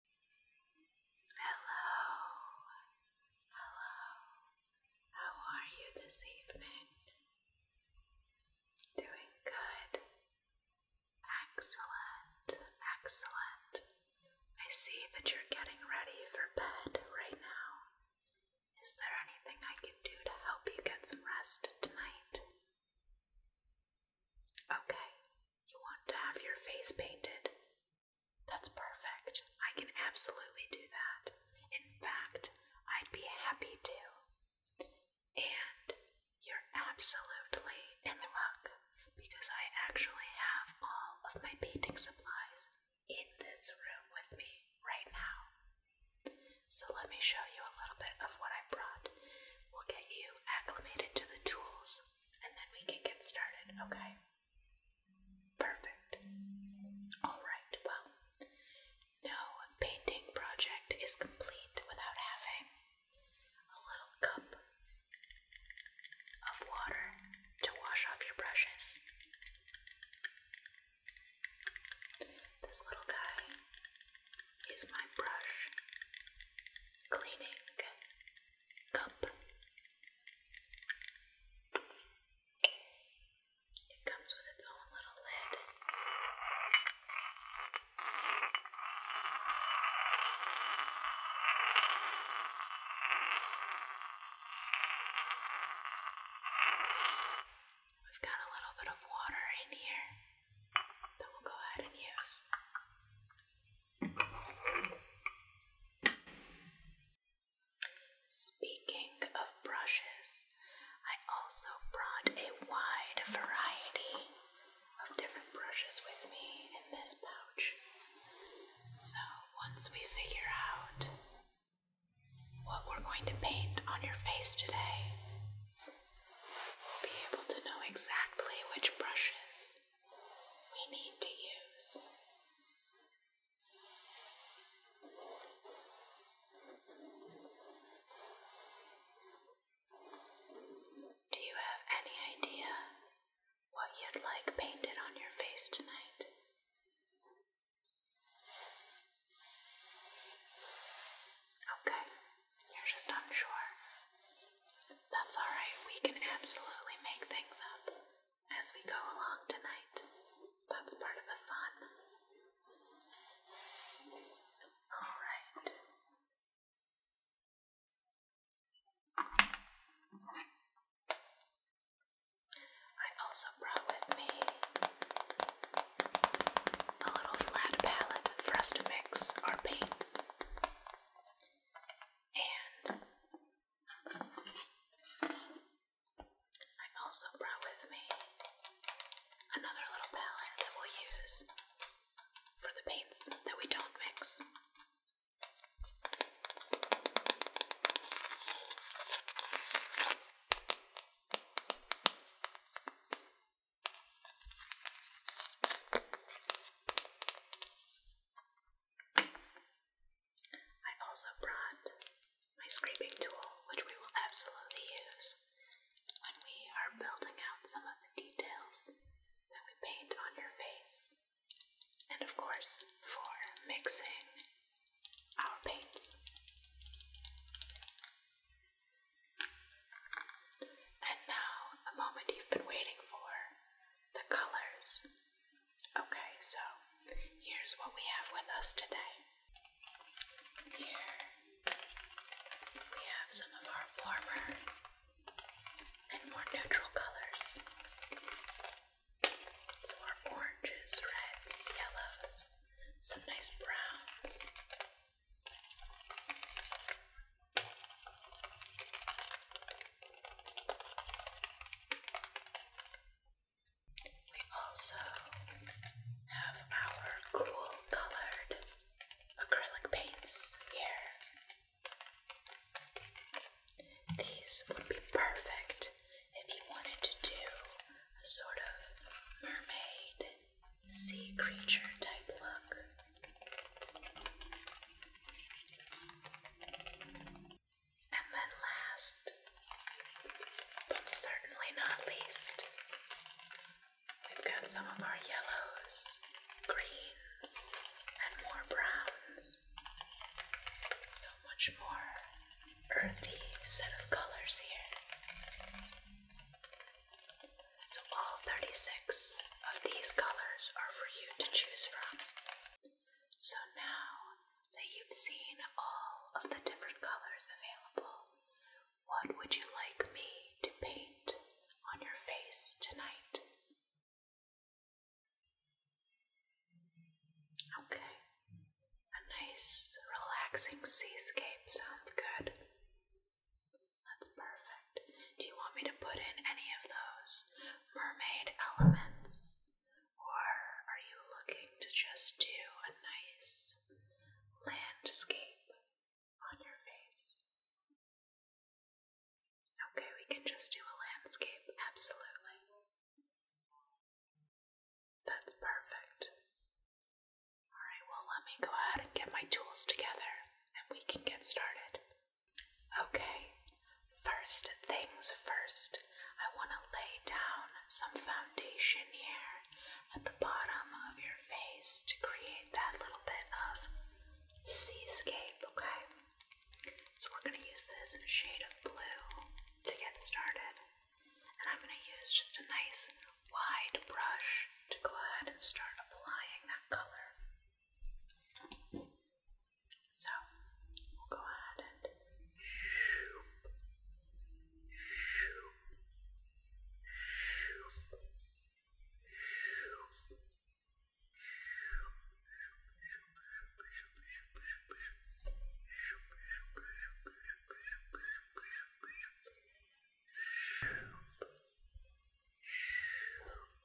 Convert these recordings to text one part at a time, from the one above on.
Hello, hello, how are you this evening? Doing good, excellent, excellent. I see that you're getting ready for bed right now. Is there anything I can do to help you get some rest tonight? Okay, you want to have your face painted? That's perfect. I can absolutely do that. In fact, I'd be happy to. And you're absolutely in luck because I actually have all of my painting supplies in this room with me right now. So let me show you a little bit of what I brought. We'll get you acclimated to the tools and then we can get started, okay? Perfect. Alright, well, no painting project is complete without having a little cup of water to wash off your brushes. This little guy is my brush cleaning cup. It comes with its own little lid. We've got a little bit of water in here that we'll go ahead and use. Speaking of brushes, I also brought a wide variety of different brushes with me in this pouch. So once we figure out what we're going to paint on your face today, we'll be able to know exactly which brushes we need to use. Do you have any idea what you'd like painted on your face tonight? Okay, you're just unsure. That's alright, we can absolutely make things up as we go along tonight. That's part of the fun. Alright. I also brought with me a little flat palette for us to mix our paints. And I also brought with me another little palette that we'll use for the paints that we don't mix. I also brought my scraping tool, which we will absolutely use when we are building out some of the details that we paint on your face. And of course, for mixing our paints. And now, a moment you've been waiting for the colors. Okay, so here's what we have with us today. Here we have some of our warmer and more neutral colors. So, our oranges, reds, yellows, some nice browns. We also have our cool colored acrylic paints here. These would be perfect if you wanted to do a sort of mermaid, sea creature type look. And then last, but certainly not least, we've got some of our yellows, greens, and more browns. So much more earthy set of colors here. So all 36 of these colors are for you to choose from. So now that you've seen all of the different colors available, what would you like me to paint on your face tonight? Okay, a nice relaxing seascape sounds good. That's perfect. Do you want me to put in any of those mermaid elements or are you looking to just do a nice landscape on your face? Okay, we can just do a landscape, absolutely. That's perfect. Alright, well, let me go ahead and get my tools together and we can get started. Okay, first things first, I want to lay down some foundation here at the bottom of your face to create that little bit of seascape, okay? So we're going to use this shade of blue to get started. And I'm going to use just a nice wide brush to go ahead and start applying that color. So we'll go ahead and shoop, shoop, shoop, shoop, Shoop, shoop, shoop, shoop, shoop, shoop, shoop, shoop, shoop, shoop, shoop, shoop, shoop,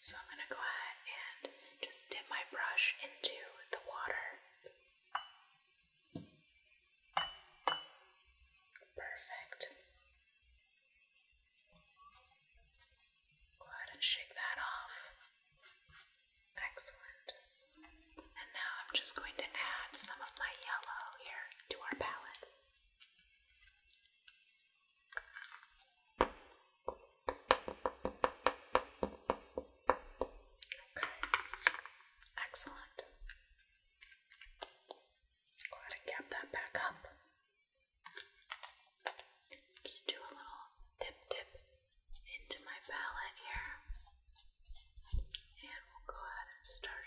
So I'm going to go ahead and just dip my brush into the water. Perfect. Go ahead and shake that off. Excellent. And now I'm just going to add some of my yellow here to our palette. Okay. Excellent. Go ahead and cap that back up. Just do a little dip dip into my palette here. And we'll go ahead and start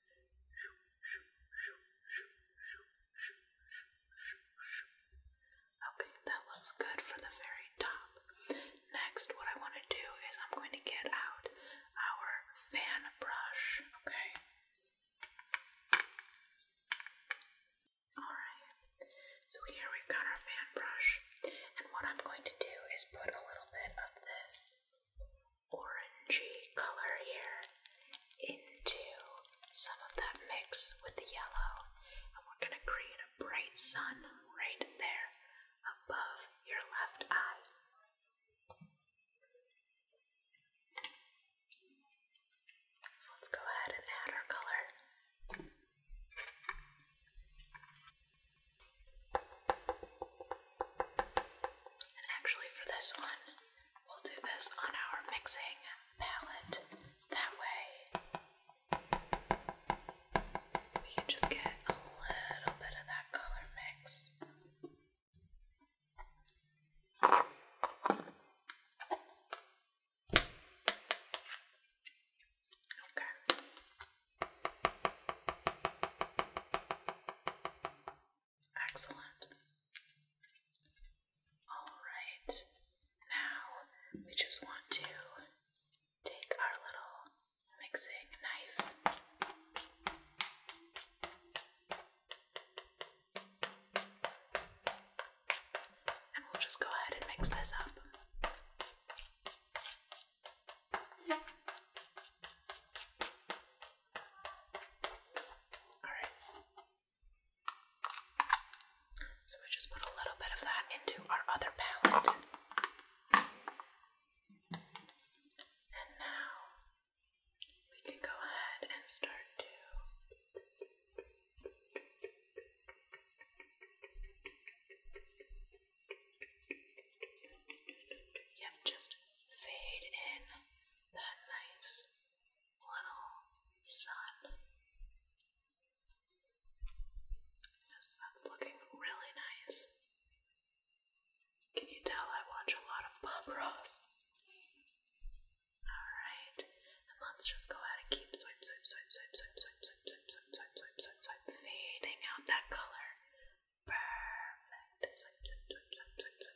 Okay, that looks good for the very top. Next, what I want to do is I'm going to get out our fan brush, okay? Alright, so here we've got our fan brush, and what I'm going to do is put a little bit of this orangey color here into some of that mix with the yellow, and we're going to create a bright sun right there above your left eye. So let's go ahead and add our color. And actually, for this one, We'll do this on our mixing palette. That way we can just get a little bit of that color mix. Okay. Excellent. Alright, now we just want to take our little mixing knife. And we'll just go ahead and mix this up. All right. So we just put a little bit of that into our other palette. And now we can go ahead and start to Yep, just fade in that nice little sun. Yes, that's looking really nice. Can you tell I watch a lot of Bob Ross? Alright, and let's just go ahead and keep swipe, swipe, swipe, swipe, swipe, swipe, swipe, swipe, swipe, swipe, swipe, swipe, swipe, fading out that color. Perfect. Swipe, swipe, swipe, swipe, swipe,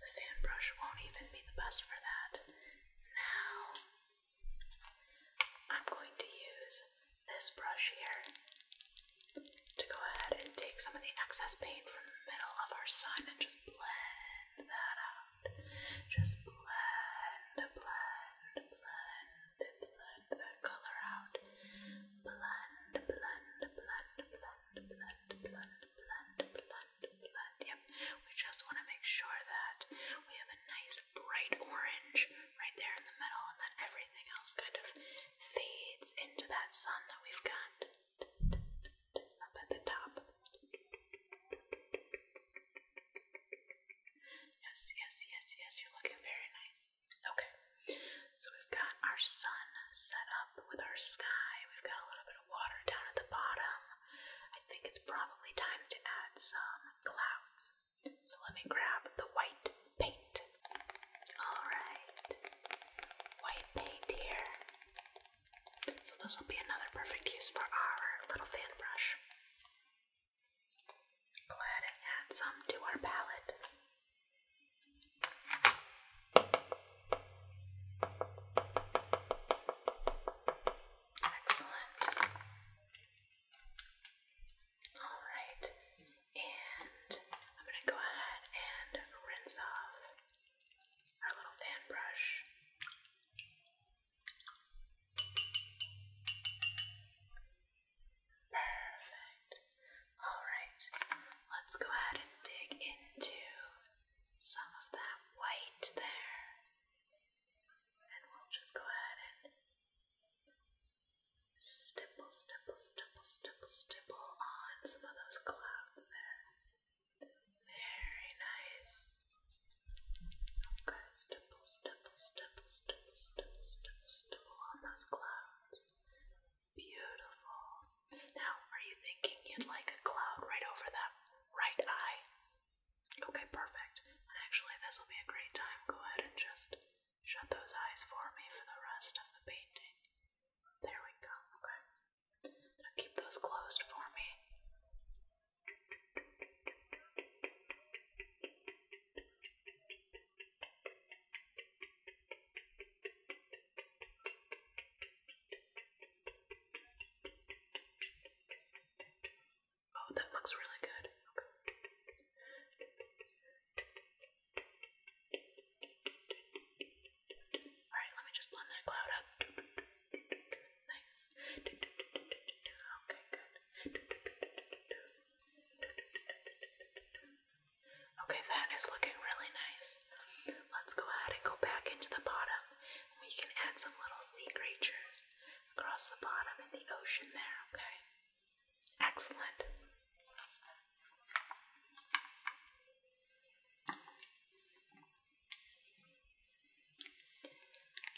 The fan brush won't even be the best for that. Now, I'm going to use this brush here to go ahead and take some of the excess paint from the middle of our sun and just blend that out. Just blend, blend, blend, blend that color out. Blend, blend, blend, blend, blend, blend, blend, blend, blend. Yep. We just want to make sure that we have a nice bright orange right there in the middle, and then everything else kind of fades into that sun that we've got up at the top. Yes, yes, yes, yes, you're looking very nice. Okay, so we've got our sun set up with our sky. We've got a little bit of water down at the bottom. I think it's probably time to add some clouds. So let me grab the white paint. Alright, white paint here. So this will be another perfect use for our little fan brush. Go ahead and add some to our palette. Excellent. All right, and I'm going to go ahead and rinse off our little fan brush. Perfect. All right, let's go ahead and dig into some of that white there. And we'll just go ahead and stipple, stipple, stipple, stipple, stipple on some of those clouds there. Very nice. Okay, stipple, stipple, stipple, stipple, stipple, stipple, on those clouds. Beautiful. Now, are you thinking you'd like a cloud right over that right eye. Okay, perfect. And actually, this will be a great time. Go ahead and just shut those eyes for me for the rest of the painting. There we go. Okay. Now keep those closed for me. Oh, that looks really good. Okay. Alright, let me just blend that cloud up. Nice. Okay, good. Okay, that is looking really nice. Let's go ahead and go back into the bottom. We can add some little sea creatures across the bottom in the ocean there, okay? Excellent.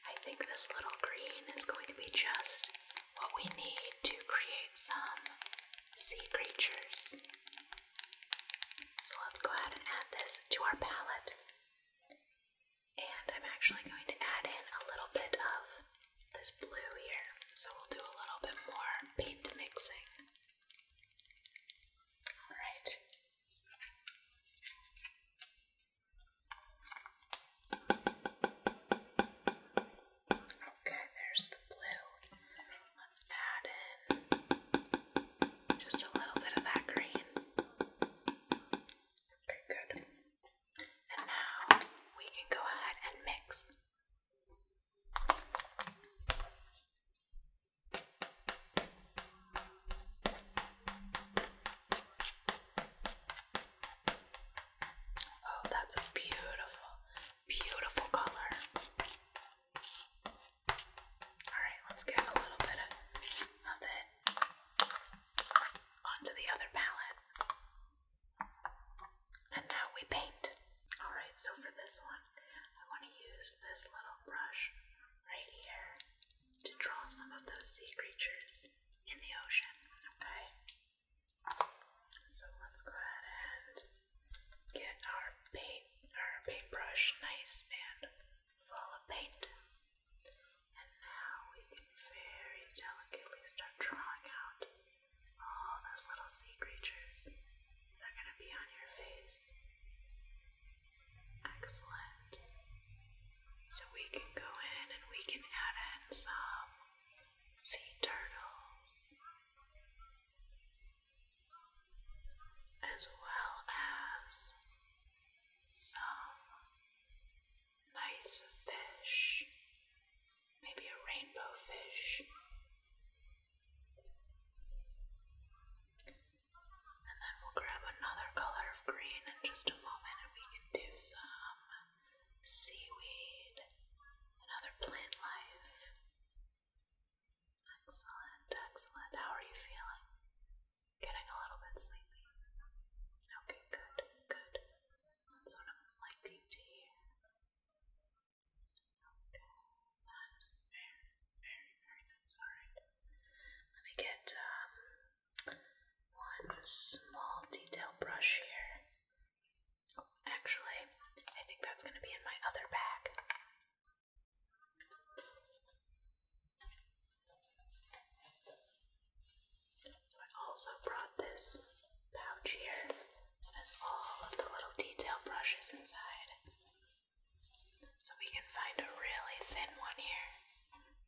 I think this little green is going to be just what we need to create some sea creatures. So let's go ahead and add this to our palette. And I'm actually going to add in a little bit of this blue here. So we'll do a little bit more paint mixing. Alright. Okay, there's the blue. Let's add in just a little bit of that green. Okay, good. And now we can go ahead and mix. Oh, that's a beautiful, beautiful color. Alright, let's get a little bit of, of it onto the other palette. And now we paint. Alright, so for this one, I want to use this little brush right here to draw some of those sea creatures in the ocean. Okay? So let's go ahead and get our paint our paintbrush nice and full of paint. And now we can very delicately start drawing out all those little sea creatures that are going to be on your face. Excellent. So we can go in and we can add in some sea turtles as well as some nice fish, maybe a rainbow fish. And then we'll grab another color of green in just a moment and we can do some seaweed and other plant life. Excellent, excellent. How are you feeling? Getting a little bit sleepy. Okay, good, good. That's what I'm liking to hear. Okay, that is very, very, very nice. Alright. Let me get um, one small detail brush here. Actually, I think that's going to be in my other bag. So I also brought this pouch here that has all of the little detail brushes inside. So we can find a really thin one here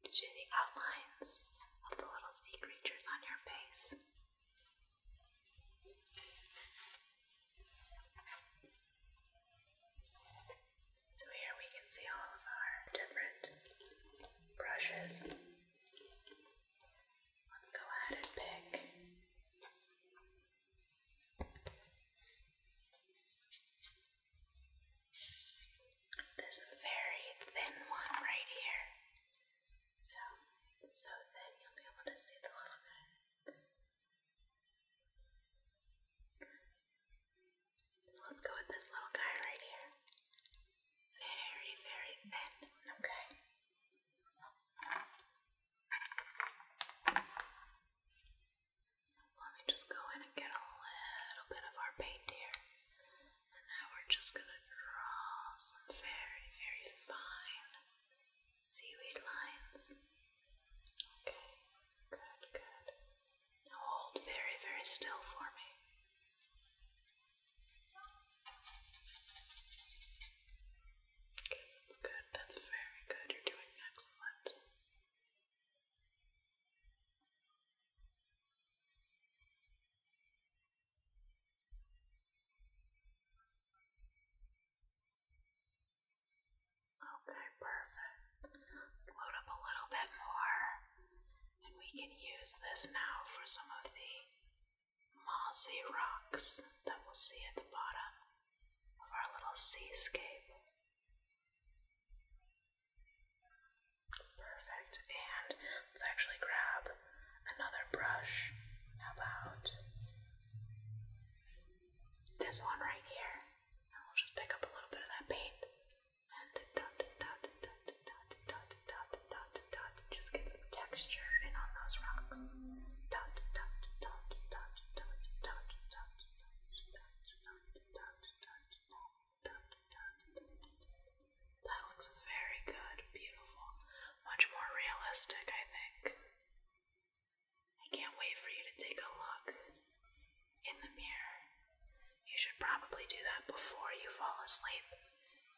to do the outlines of the little sea creatures on your face. So here we can see all of our different brushes. Let's go ahead and pick. This very thin one right here. So, so thin you'll be able to see the little bit. So let's go with this little guy right here. Very, very thin. Okay. So let me just go in and get a little bit of our paint here. And now we're just going to draw some very, very fine seaweed lines. Okay. Good, good. hold very, very still for me. Okay, that's good. That's very good. You're doing excellent. Okay, perfect. Float up a little bit more, and we can use this now for some of the mossy rocks that we'll see at the bottom of our little seascape. Perfect, and let's actually grab another brush. about this one right here? And we'll just pick up a little bit of that paint and Just get some texture in on those rocks. that looks very good, beautiful, much more realistic, I think. I can't wait for you to take a look in the mirror you should probably do that before you fall asleep,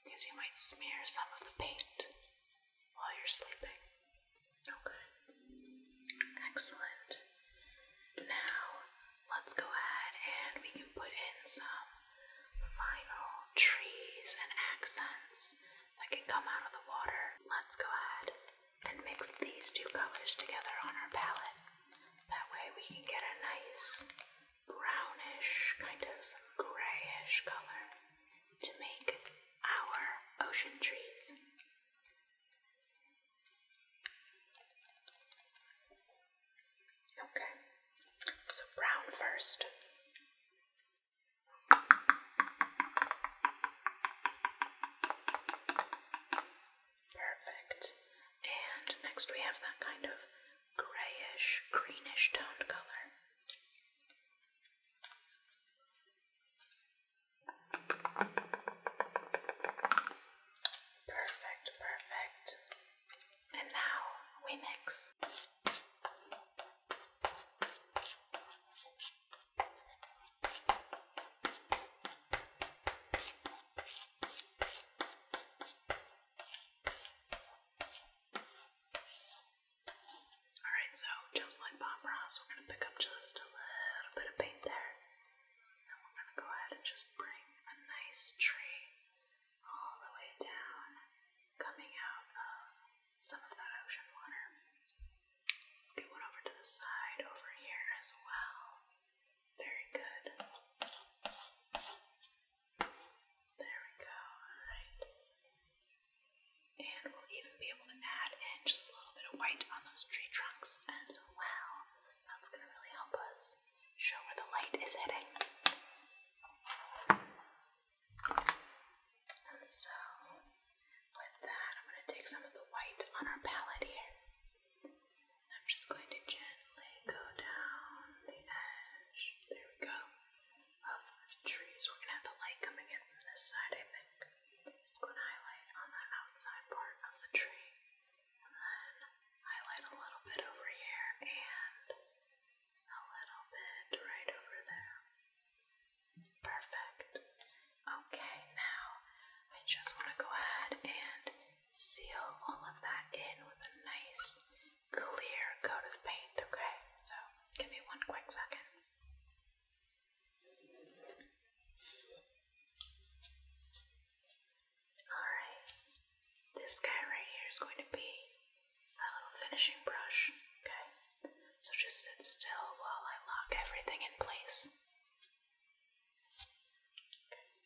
because you might smear some of the paint while you're sleeping. Okay. Excellent. Now, let's go ahead and we can put in some final trees and accents that can come out of the water. Let's go ahead and mix these two colors together on our palette. That way we can get a nice brownish, kind of grayish color to make our ocean trees. Okay, so brown first. Perfect. And next we have that kind of grayish, greenish toned color. Perfect, perfect. And now we mix. Alright, so just like Bob Ross, we're going to pick up just a little bit of paint there. And we're going to go ahead and just bring a nice tree all the way down, coming out of some of that ocean water. Let's get one over to the side over here as well. Very good. There we go. Alright. And we'll even be able to add in just a little bit of white on those tree trunks as well. That's going to really help us show where the light is hitting. And so, with that, I'm going to take some of the white on our palette here. I'm just going to gently go down the edge. There we go. Of the trees. We're gonna have the light coming in from this side, I think. Just go and highlight on the outside part of the tree. And then highlight a little bit over here and a little bit right over there. Perfect. Okay, now I just want to go ahead and seal all of that in with a nice clear coat of paint, okay? So give me one quick second. Alright, this guy right here is going to be my little finishing brush, okay? So just sit still while I lock everything in place.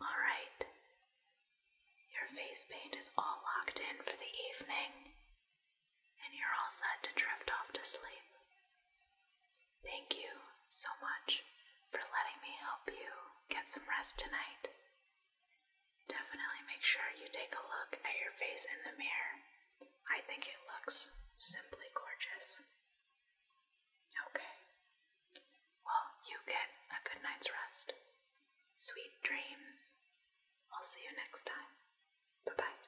All right. Your face paint is all locked in for the evening, and you're all set to drift off to sleep. Thank you so much for letting me help you get some rest tonight. Definitely make sure you take a look at your face in the mirror. I think it looks simply gorgeous. Okay. Well, you get a good night's rest. Sweet dreams. I'll see you next time. Bye bye.